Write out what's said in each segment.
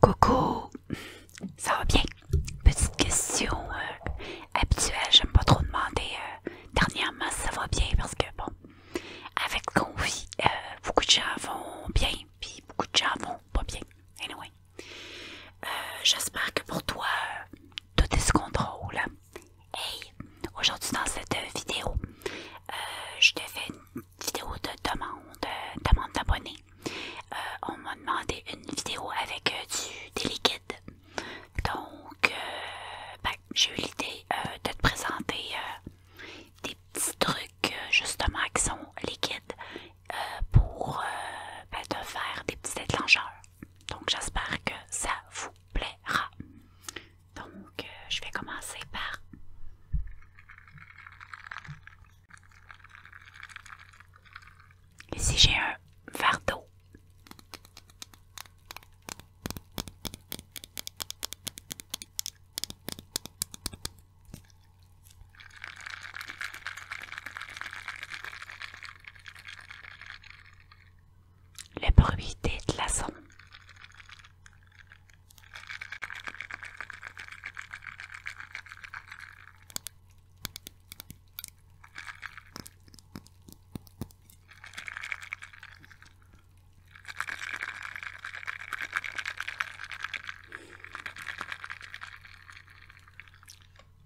Coucou, ça va bien? Petite question euh, habituelle, j'aime pas trop demander euh, dernièrement ça va bien parce que bon, avec ce qu'on euh, beaucoup de gens vont bien, puis beaucoup de gens vont pas bien. j'espère que pour toi, tout est sous contrôle. Hey, aujourd'hui dans cette vidéo, je te fais une vidéo de demande, demande d'abonnés. Euh, on m'a demandé une vidéo avec euh, du, des liquides. Donc, euh, ben, j'ai eu l'idée de te présenter des petits trucs justement qui sont liquides pour ben, te faire des petits déclencheurs. Donc, j'espère que ça vous plaira. Donc, euh, je vais commencer par Ici, j'ai un verre le bruit des glaçons.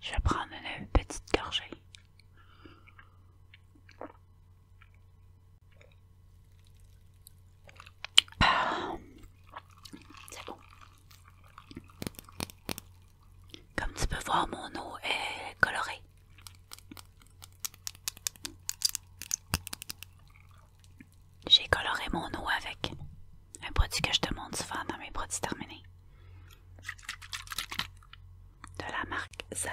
Je prends une petite gorgée. Euh, c'est bon. Comme tu peux voir, mon eau est colorée. J'ai coloré mon eau avec un produit que je te montre souvent dans mes produits terminés de la marque Zaz.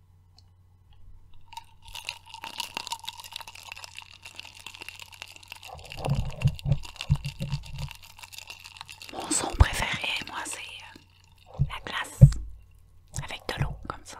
Mon son préféré, moi, c'est euh, la glace avec de l'eau comme ça.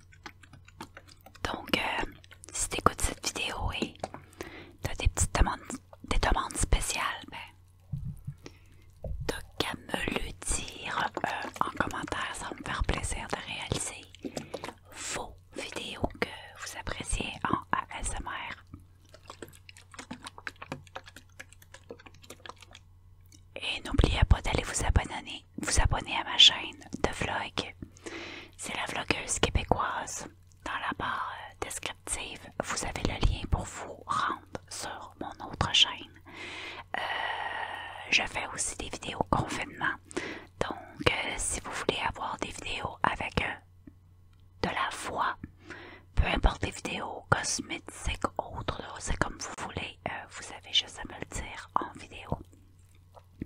Donc, euh, si tu écoutes cette vidéo et as des petites demandes, des demandes spéciales, ben, t'as qu'à me le dire euh, en commentaire, ça va me faire plaisir de réaliser vos vidéos que vous appréciez en ASMR. Et n'oubliez pas d'aller vous abonner vous abonner à ma chaîne de vlog. C'est la vlogueuse québécoise. Dans la barre euh, descriptive, vous avez le lien pour vous rendre sur mon autre chaîne. Euh, je fais aussi des vidéos confinement. Donc, euh, si vous voulez avoir des vidéos avec de la voix, peu importe les vidéos cosmétiques, autres, c'est comme vous voulez, vous avez juste à me le dire en vidéo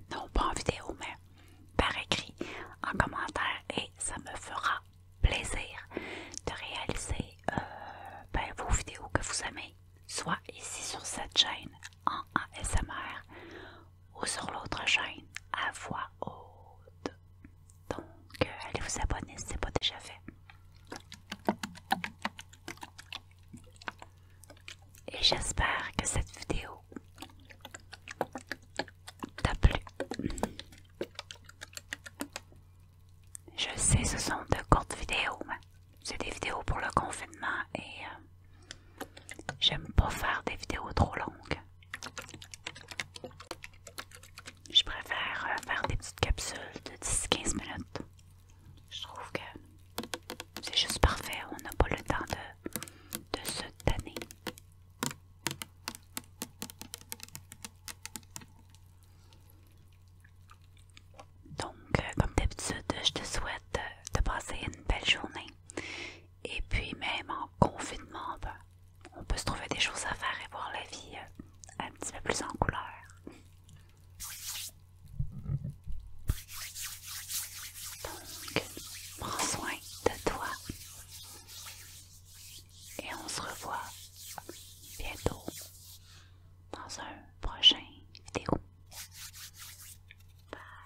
non pas en vidéo, mais par écrit, en commentaire, et ça me fera plaisir de réaliser euh, ben, vos vidéos que vous aimez, soit ici sur cette chaîne en ASMR ou sur l'autre chaîne à voix haute. Donc, euh, allez vous abonner si ce n'est pas déjà fait. Et j'espère que cette vidéo t'a plu. Je sais, ce sont de courtes vidéos. mais C'est des vidéos pour le confinement et euh, j'aime pas faire des vidéos trop longues. Je préfère euh, faire des petites capsules de 10-15 minutes. Je trouve que c'est juste parfait. On n'a pas le temps de, se tanner. Donc, euh, comme d'habitude, je te souhaite euh, de passer une belle journée. Et puis, même en confinement, ben, on peut se trouver des choses à faire et voir la vie euh, un petit peu plus en couleur. Donc, prends soin de toi. Et on se revoit bientôt dans un prochain vidéo. Bye.